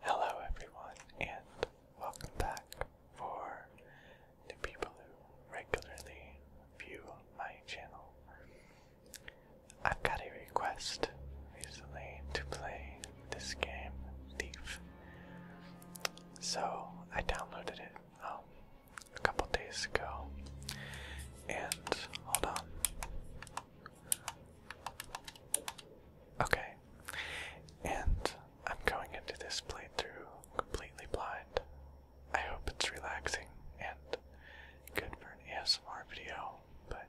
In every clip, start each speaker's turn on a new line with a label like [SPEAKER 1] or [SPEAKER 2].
[SPEAKER 1] Hello, everyone, and welcome back. For the people who regularly view my channel, I've got a request recently to play this game, Thief. So I downloaded it um, a couple days ago, and hold on. Okay. And I'm going into this playthrough completely blind. I hope it's relaxing and good for an ASMR video, but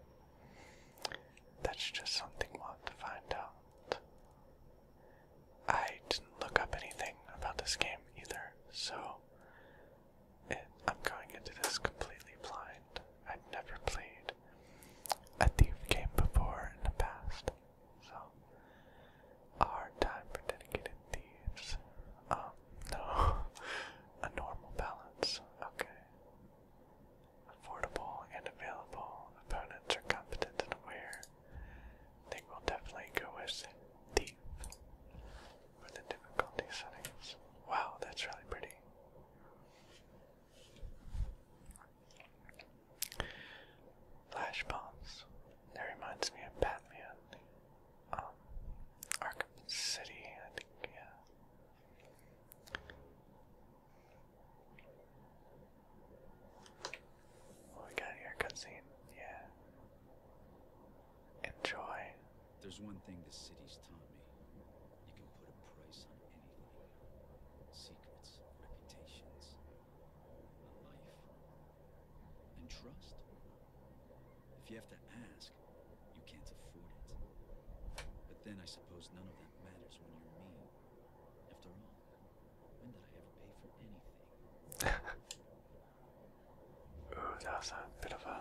[SPEAKER 1] that's just something we'll to find out. I didn't look up anything about this game either, so I'm going into this completely blind. I've never played a thief came before in the past. So, a hard time for dedicated thieves. Um, no. a normal balance. Okay. Affordable and available. Opponents are competent and aware. They will definitely go with thief for the difficulty settings. Wow, that's really pretty. Flash bombs. That reminds me of Batman. Um, Arkham City, I think, yeah. we got here? Cutscene, yeah. Enjoy. There's one thing the city's taught me. You can put a price on anything secrets, reputations, a life, and trust. If you have to ask, you can't afford it. But then I suppose none of that matters when you're me. After all, when did I ever pay for anything? Ooh, that was a bit of a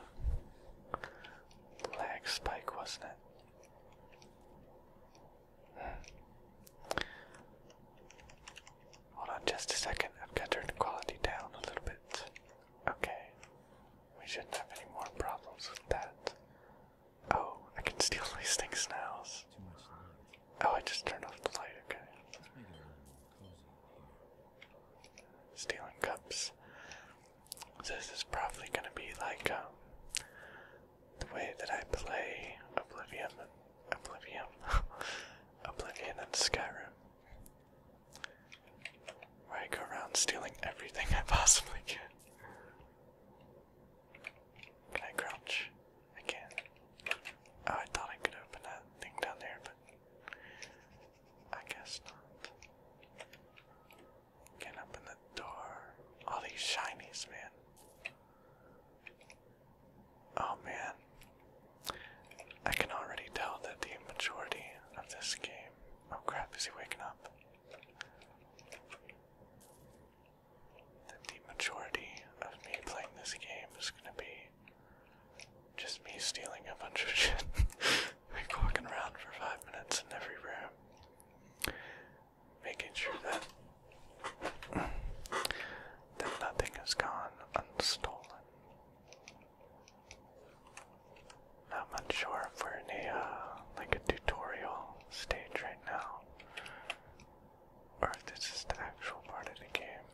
[SPEAKER 1] lag spike, wasn't it? Hold on just a second, I've got to turn the quality down a little bit. Okay, we shouldn't have any more problems with that. Oh, I can steal these things now. Oh, I just turned off the light, okay. Stealing cups this is probably going to be like um, the way that I play Oblivion, Oblivion, Oblivion and Skyrim, where I go around stealing everything I possibly can. Can I crouch? I can. Oh, I thought I could open that thing down there, but I guess not. Can't open the door. All these shinies, man. Oh man. I can already tell that the majority of this game. Oh crap, is he waking up? That the majority of me playing this game is gonna be just me stealing a bunch of shit. Like walking around for five minutes in every room, making sure that that nothing has gone unstolen. Not much sure if we're in a uh, like a tutorial stage right now, or if this is the actual part of the game.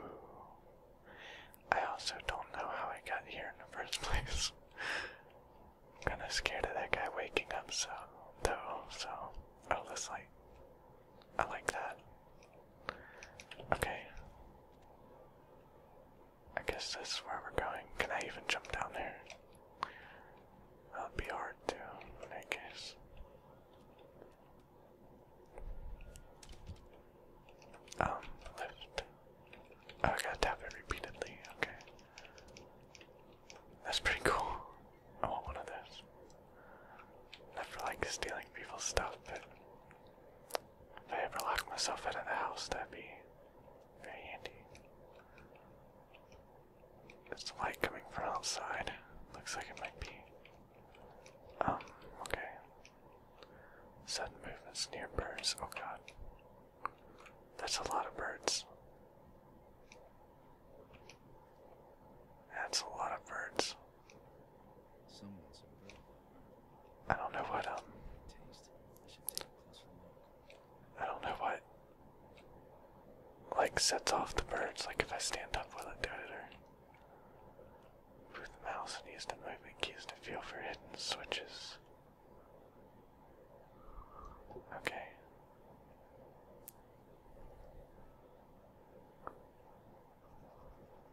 [SPEAKER 1] Ooh. I also don't know how I got here in the first place. I'm kinda scared of that guy waking up so though, so oh this light. I like that. Okay. I guess this is where we're going. Can I even jump down there? That'd be hard to in that Um, lift. Oh, I gotta tap it repeatedly, okay. That's pretty cool. I want one of those. Not for like stealing people's stuff, but if I ever lock myself out of the house, that'd be very handy. There's light coming from outside. Looks like it might be. Um, okay. Sudden movements near birds. Oh god. That's a lot of birds. That's a lot of birds. I don't know what um I don't know what like sets off the birds, like if I stand up will it do it or move the mouse and use the movement keys to feel for hidden switches. Okay.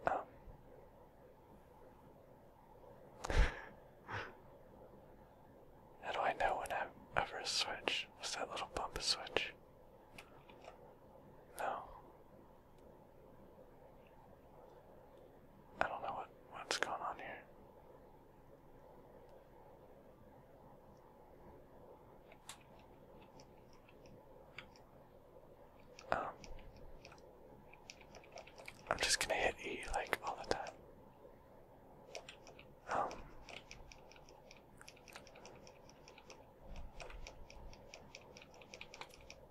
[SPEAKER 1] Um. How do I know when I'm switch? Was that little bump a switch? No. I don't know what what's going on here. Um, I'm just gonna hit E like all the time. Um,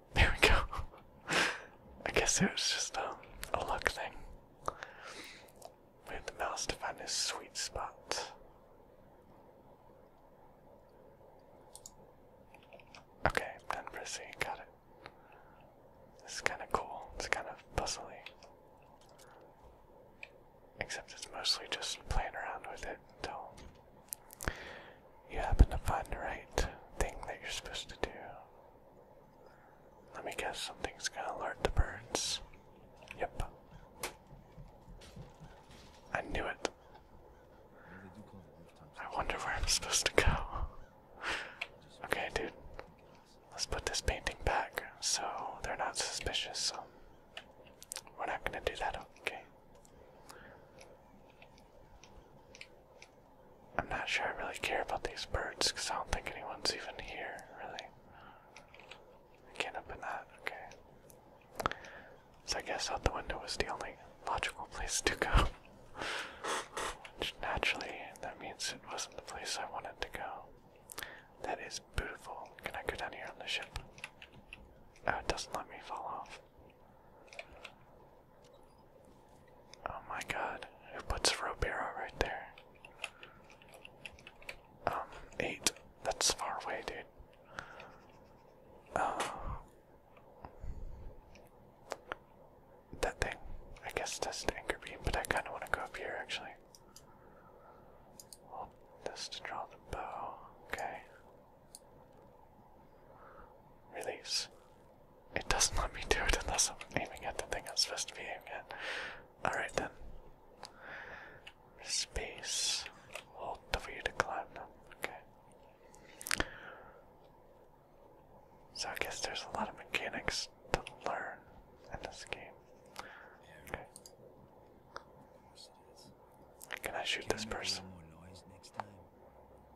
[SPEAKER 1] there we go. I guess it was just um, a luck thing. Move the mouse to find his sweet spot. Okay, then pressing, got it. This kind of cool, it's kind of puzzly. Except it's mostly just playing around with it until you happen to find the right thing that you're supposed to do. Let me guess something's gonna alert the birds. Yep. I knew it. I wonder where I'm supposed to go. okay, dude. Let's put this painting back so they're not suspicious, so we're not gonna do that, okay? I'm not sure I really care about these birds because I don't think anyone's even here, really. I can't open that, okay. So I guess out the window was the only logical place to go. Which naturally, that means it wasn't the place I wanted to go. That is beautiful. Can I go down here on the ship? Oh, it doesn't let me fall off. Oh my god, who puts Robera right there? Um, eight. That's far away, dude. Uh, that thing. I guess that's the anchor beam, but I kind of want to go up here actually. Hold this draw the bow. Okay. Release. It doesn't let me do it unless I'm aiming at the thing I'm supposed to be aiming at. Alright then. Space. Hold W to climb them. Okay. So I guess there's a lot of mechanics to learn in this game. Okay. Can I shoot this person?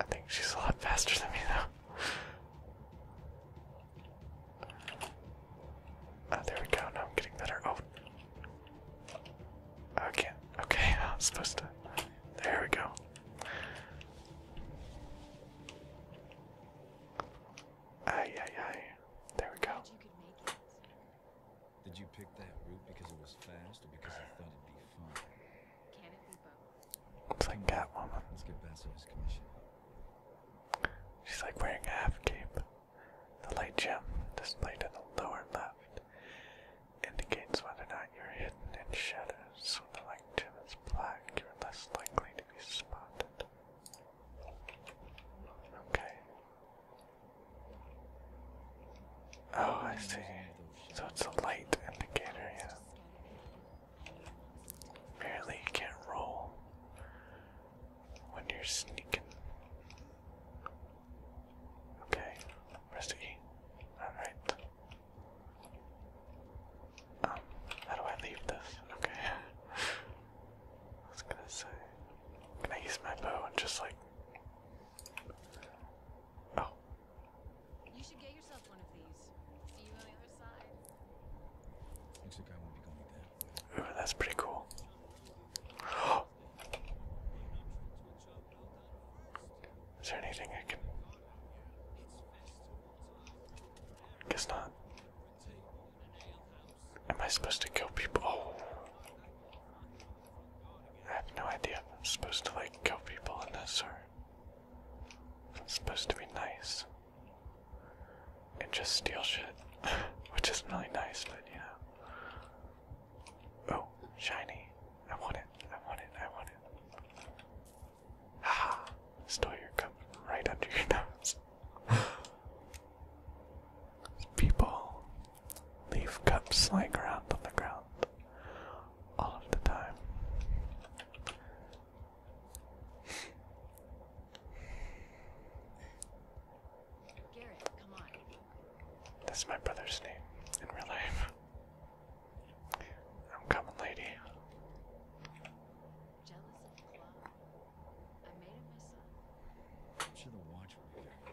[SPEAKER 1] I think she's a lot faster than me though. Ah, there we go. Now I'm getting better. Oh, okay, okay. I'm supposed to. There we go. Aye, aye, aye. There we go. Can Looks like Catwoman. Let's get Basil's commission. She's like wearing a half cape. The light gem displayed in the lower left indicates whether or not you're hidden in shadows. So the light gem is black, you're less likely to be spotted. Okay. Oh, I see. So it's a light indicator, yeah. Barely can roll when you're sneaking. Okay, where's the E? Alright. Um, how do I leave this? Okay. I was gonna say. Can I use my bow and just like. Oh. You should get yourself one of these. See you on the other side. Ooh, that's pretty cool. Is there anything I can? Guess not. Am I supposed to kill people? Oh. I have no idea if I'm supposed to like kill people in this or if I'm supposed to be nice and just steal shit, which isn't really nice, but you know. Oh, shiny. I want it, I want it, I want it. Haha, stole your cup right under your nose. People leave cups lying around on the ground all of the time. That's my brother's name in real life. I'm coming, lady. Jealous of the I made it myself. Should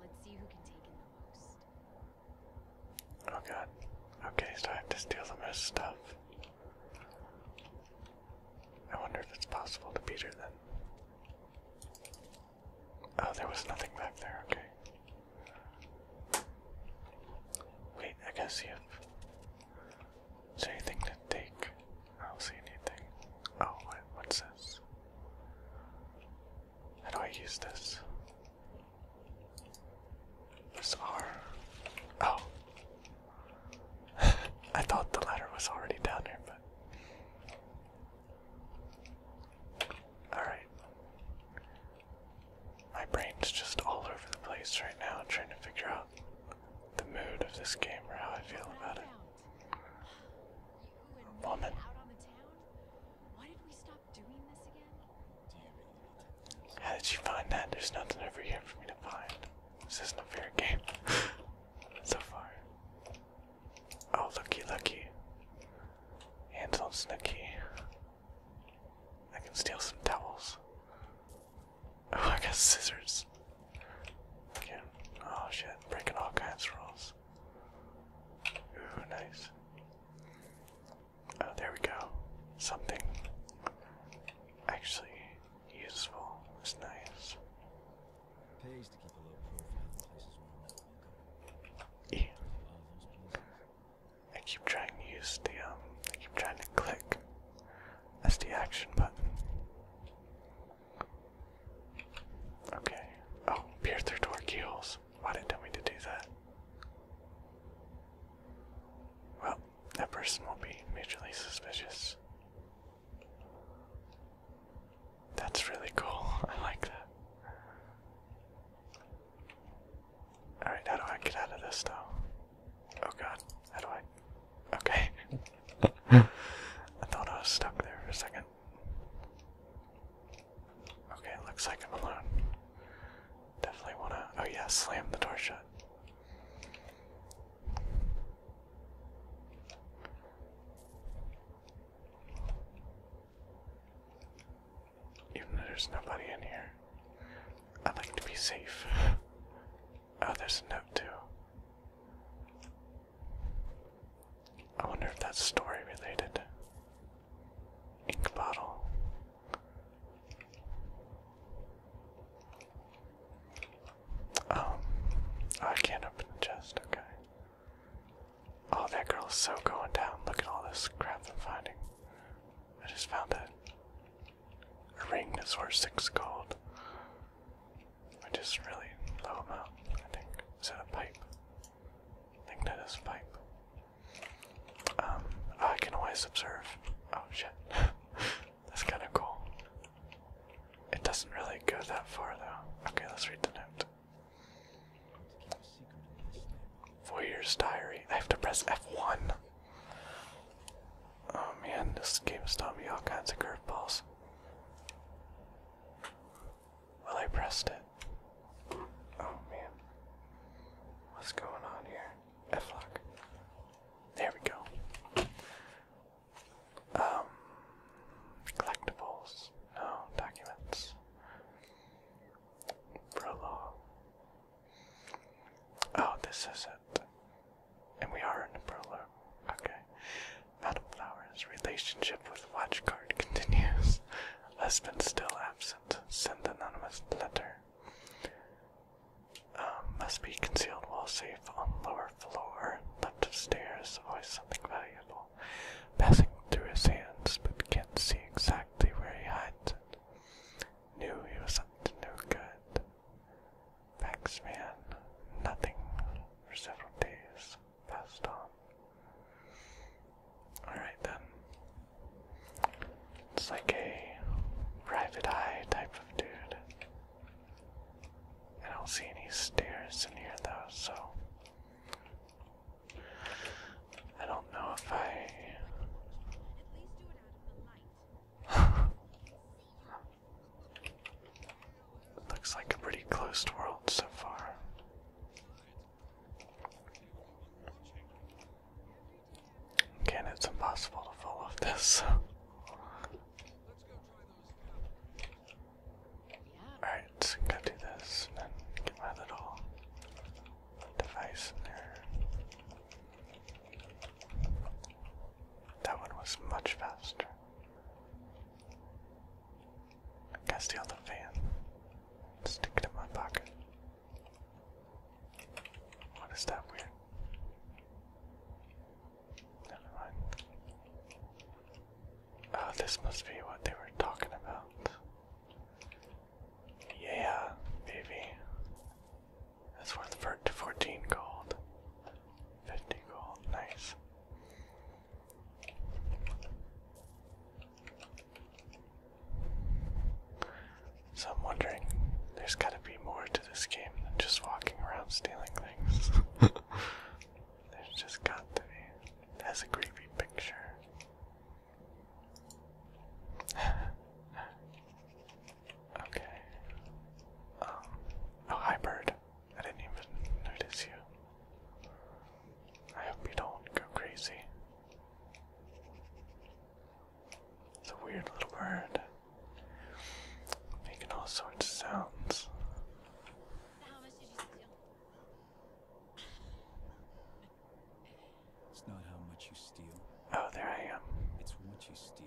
[SPEAKER 1] Let's see who can take in the most. Oh god. Okay, so I have to steal the most stuff. I wonder if it's possible to beat her then. Oh, there was nothing back there, okay. Wait, I gotta see if anything to take. I don't see anything. Oh, what's this? How do I use this? This R. Oh. I thought the ladder was already down here, but. Alright. My brain's just all over the place right now, trying to figure out the mood of this game or how I feel about it. Vomit. How did you find that? There's nothing over here for me to find. This isn't a fair game so far. Oh, lucky, lucky. Hands on I can steal some towels. Oh, I got scissors. Okay. Oh shit, breaking all kinds of rules. Ooh, nice. Oh, there we go. Something actually useful is nice. Pays i keep trying to use the um I keep trying to click as the action button. Okay. Oh, peer through door keyholes. Why didn't tell me to do that? Well, that person will not be mutually suspicious. That's really cool. I like that. Alright, how do I get out of this though? Oh god, how do I. Okay. I thought I was stuck there for a second it. Okay, looks like I'm alone. Definitely wanna. Oh, yeah, slam the door shut. Even though there's nobody in here, I like to be safe. Oh, there's a note too. I wonder if that's story related. Ink bottle. Um, oh, I can't open the chest, okay. Oh, that girl is so going down. Look at all this crap I'm finding. I just found a ring that's worth six gold. I just really blow them out, I think. Is that a pipe? I think that is a pipe. Um, oh, I can always observe. Oh shit. That's kinda cool. It doesn't really go that far though. Okay, let's read the note. Voyeur's diary. I have to press F1. Oh man, this game is throwing me all kinds of curveballs. Well, I pressed it. Oh man. What's going on here? F lock. There we go. Um. Collectibles. No, oh, documents. Prologue. Oh, this is it. And we are in the prologue. Okay. Madame Flower's relationship with Watchguard continues. Husband still absent. Sent anonymous letter. Um, must be concealed while safe on lower floor. Left of stairs. Always something valuable. Passing through his hands, but can't see exactly where he hides it. Knew he was up to no good. Thanks, man. Nothing for several days passed on. Alright then. It's like a private eye type of dude. I don't see any stairs in here though, so I don't know if I Looks like a pretty closed world so far. Again, it's impossible to follow this. Alright, so to do this get my little device in there. That one was much faster. I gotta steal the fan. Stick it in my pocket. What is that weird? Never mind. Oh, this must be what they were talking about. Yeah, baby. That's worth 14 gold. 50 gold, nice. So I'm wondering, there's gotta be more to this game than just walking around stealing things. there's just got to be. That's a creepy picture. okay. Um, oh, hi, bird. I didn't even notice you. I hope you don't go crazy. It's a weird little bird. Making all sorts of sounds. It's not how much you steal. Oh, there I am. It's what you steal.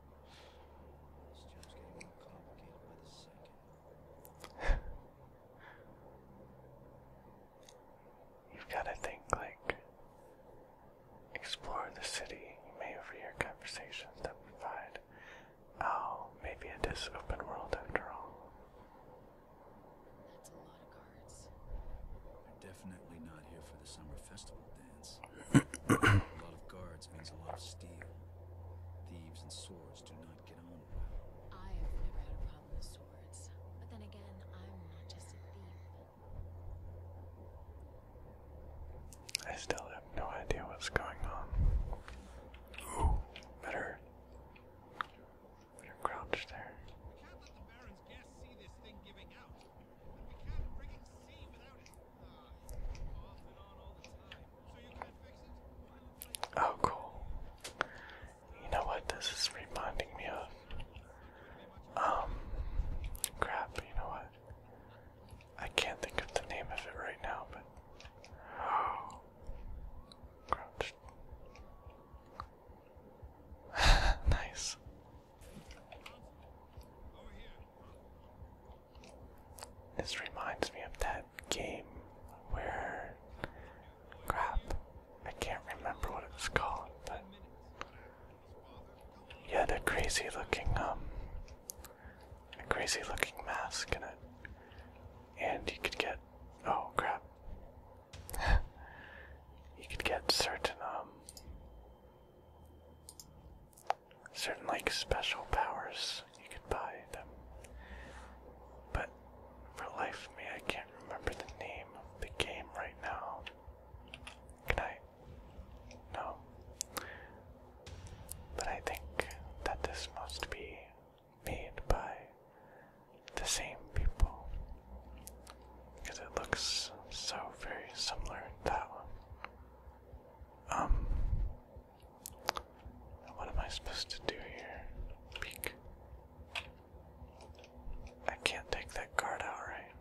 [SPEAKER 1] You've got to think like explore the city. You may overhear conversations that provide. Oh, maybe it is open world after all. That's a lot of cards. They're definitely not here for the summer festival a lot of guards means a lot of steel. Thieves and swords do not get on well. I have never had a problem with swords. But then again, I'm not just a thief. I still have no idea what's going on. better. Better crouch there. Oh, cool. You know what this is reminding me of? Um, crap, you know what? I can't think of the name of it right now, but. Oh. Crouched. nice. This reminds me of that game where. Crap. I can't remember what it was called, but. Yeah, the crazy looking, um. crazy looking mask in And you could get. Oh, crap. you could get certain, um certain like special powers you could buy them. But for life me I can't remember the name of the game right now. Can I? No. But I think that this must be made by the same people. Because it looks so very similar to that one. Um, what am I supposed to do here? I can't take that card out, right?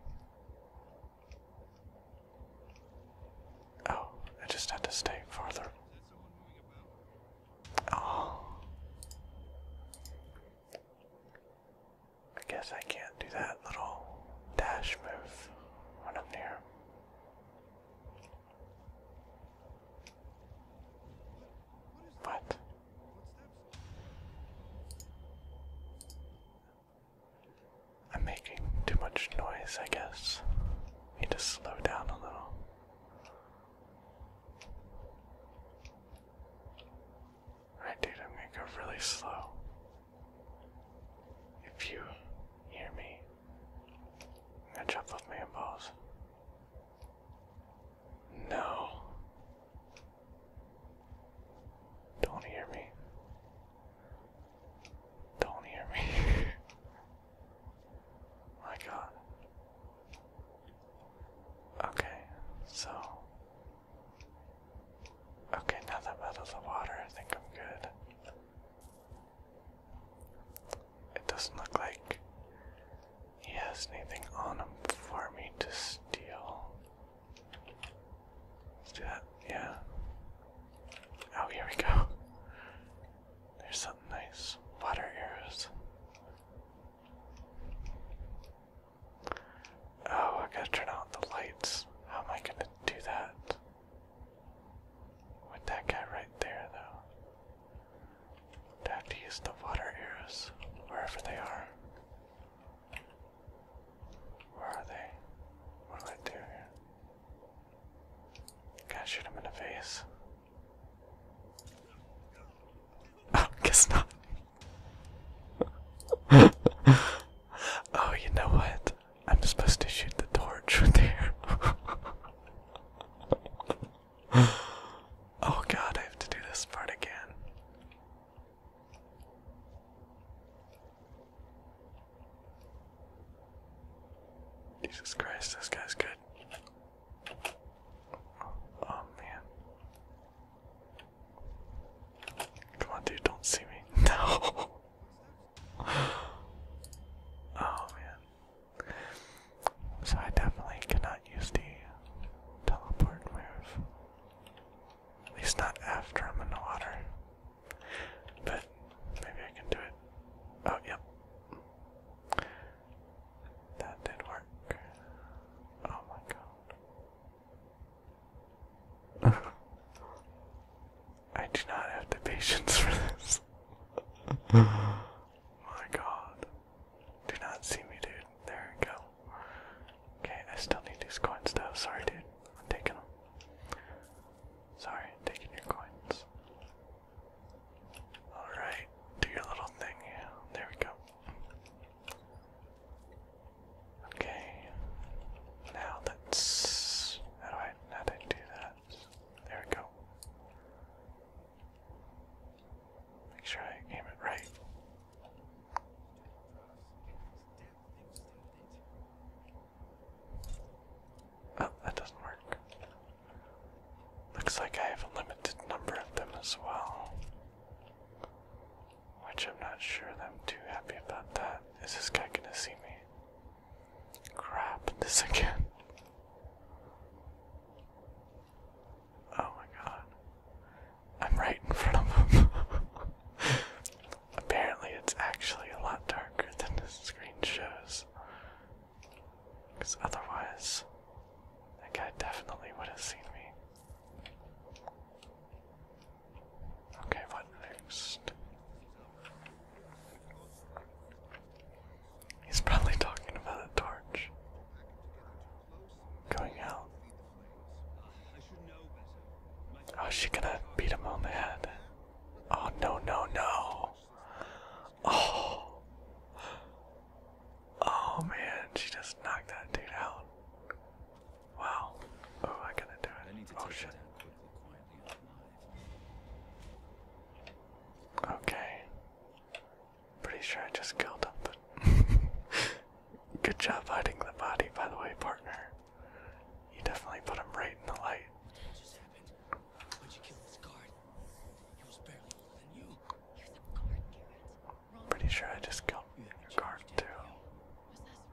[SPEAKER 1] Oh, I just had to stay farther. Oh. I guess I can't do that little dash move when I'm near. What? I'm making too much noise, I guess. Need to slow down a little. I'm gonna go really slow. If you hear me, I up with me and balls. No. Don't hear me. Don't hear me. My god. Okay, so Okay, now that I'm out of the water, I think I'm good. It doesn't look like he has anything on him for me to steal. Let's do that, yeah. Oh, here we go. There's something nice. Water arrows. Oh, I gotta turn out the lights. How am I gonna do that? With that guy right there, though. Time to use the water arrows, wherever they are. Where are they? What do I do here? Gotta shoot him in the face. Oh, guess not. oh, you know what? I'm supposed to shoot the torch there. oh god, I have to do this part again. Jesus Christ, this guy's good. oh man. Come on, dude, don't see me. No. Oh man. So I definitely cannot use the teleport move. At least not after I'm in the water. But maybe I can do it. Oh, yep. That did work. Oh my god. I do not have the patience for this. My god. Do not see me, dude. There we go. Okay, I still need these coins though. Sorry, dude. I'm taking them. Sorry, taking your coins. Alright, do your little thing. there we go. Okay. Now let's. How do I? How do that? There we go. Make sure I aim it right. Oh, that doesn't work. Looks like I have a limited number of them as well. Which I'm not sure that I'm too happy about that. Is this guy gonna see me? Crap, this again. Oh my god. I'm right in front of him. Apparently, it's actually a lot darker than the screen shows. Because otherwise, that guy definitely would have seen me. Okay, what next? He's probably talking about a torch. Going out. Oh, she gonna beat him on the head? Oh, no, no, no. Oh. Oh, man, she just knocked that dude out. Wow. Oh, I gotta do it. Oh shit. Okay. Pretty sure I just killed him, good job hiding the body, by the way, partner. You definitely put him right in the light. Pretty sure I just killed your guard too.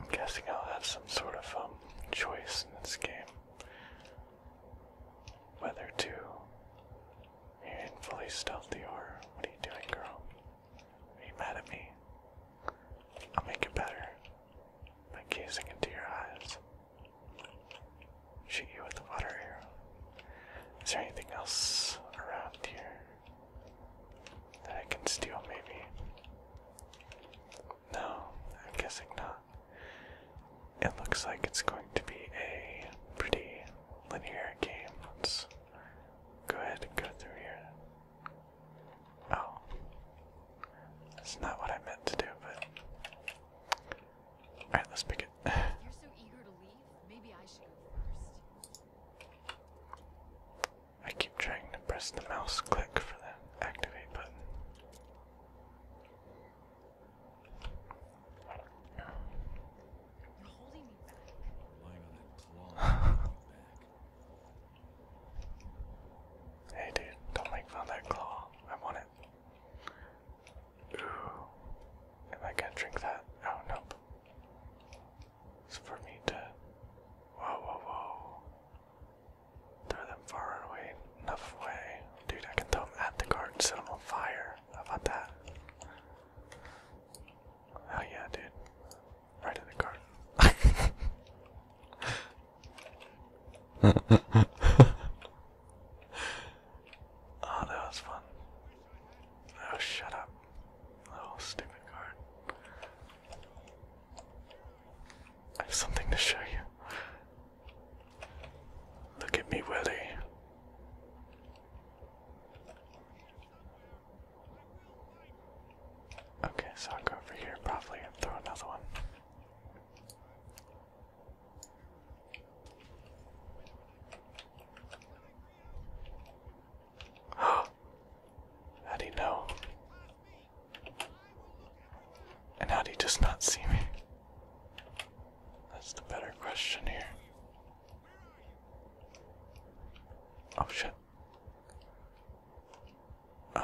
[SPEAKER 1] I'm guessing I'll have some sort of um, choice in this game whether to be fully stealthy or what are you doing, girl? Are you mad at me? I'll make it better by gazing into your eyes. Shoot you with the water arrow. Is there anything else around here? that I can steal, maybe. No, I'm guessing not. It looks like it's going to be a pretty linear game. Let's go ahead and go through here. Oh. That's not what I meant to do, but. Alright, let's pick it. I keep trying to press the mouse click for the activate button. You're holding me back. Lying on that claw. hey, dude, don't like found that claw. I want it. Ooh, am I gonna drink that? Oh nope for me to. Whoa, whoa, whoa. Throw them far away. Enough away. Dude, I can throw them at the garden, set them on fire. How about that? Oh, yeah, dude. Right in the garden. oh, that was fun. Oh, shut up. Little stupid card. I have something to show you. Look at me, Willie. Okay, so I'll go over here probably and throw another one. How'd he know? And how'd he just not see me? That's the better question here. Oh shit. Um.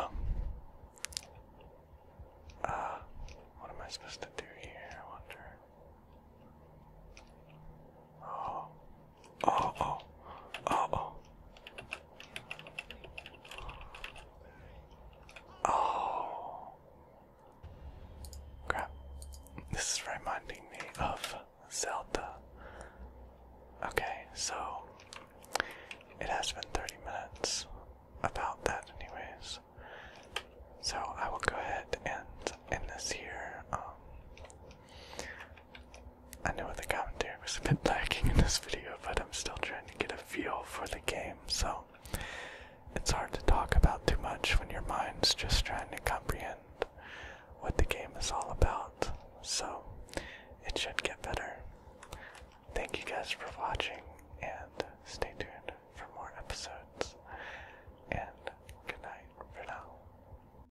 [SPEAKER 1] Uh. What am I supposed to do here? I wonder. Oh. Oh, oh, oh, oh. Oh. Crap. This is reminding me of Zelda. Okay, so it has been 30 minutes about that, anyways. So I will go ahead and end this here. Um, I know the commentary was a bit lacking in this video, but I'm still trying to get a feel for the game, so it's hard to talk about too much when your mind's just trying to comprehend what the game is all about. So it should get better. Thank you guys for watching, and stay tuned for more episodes. And good night for now.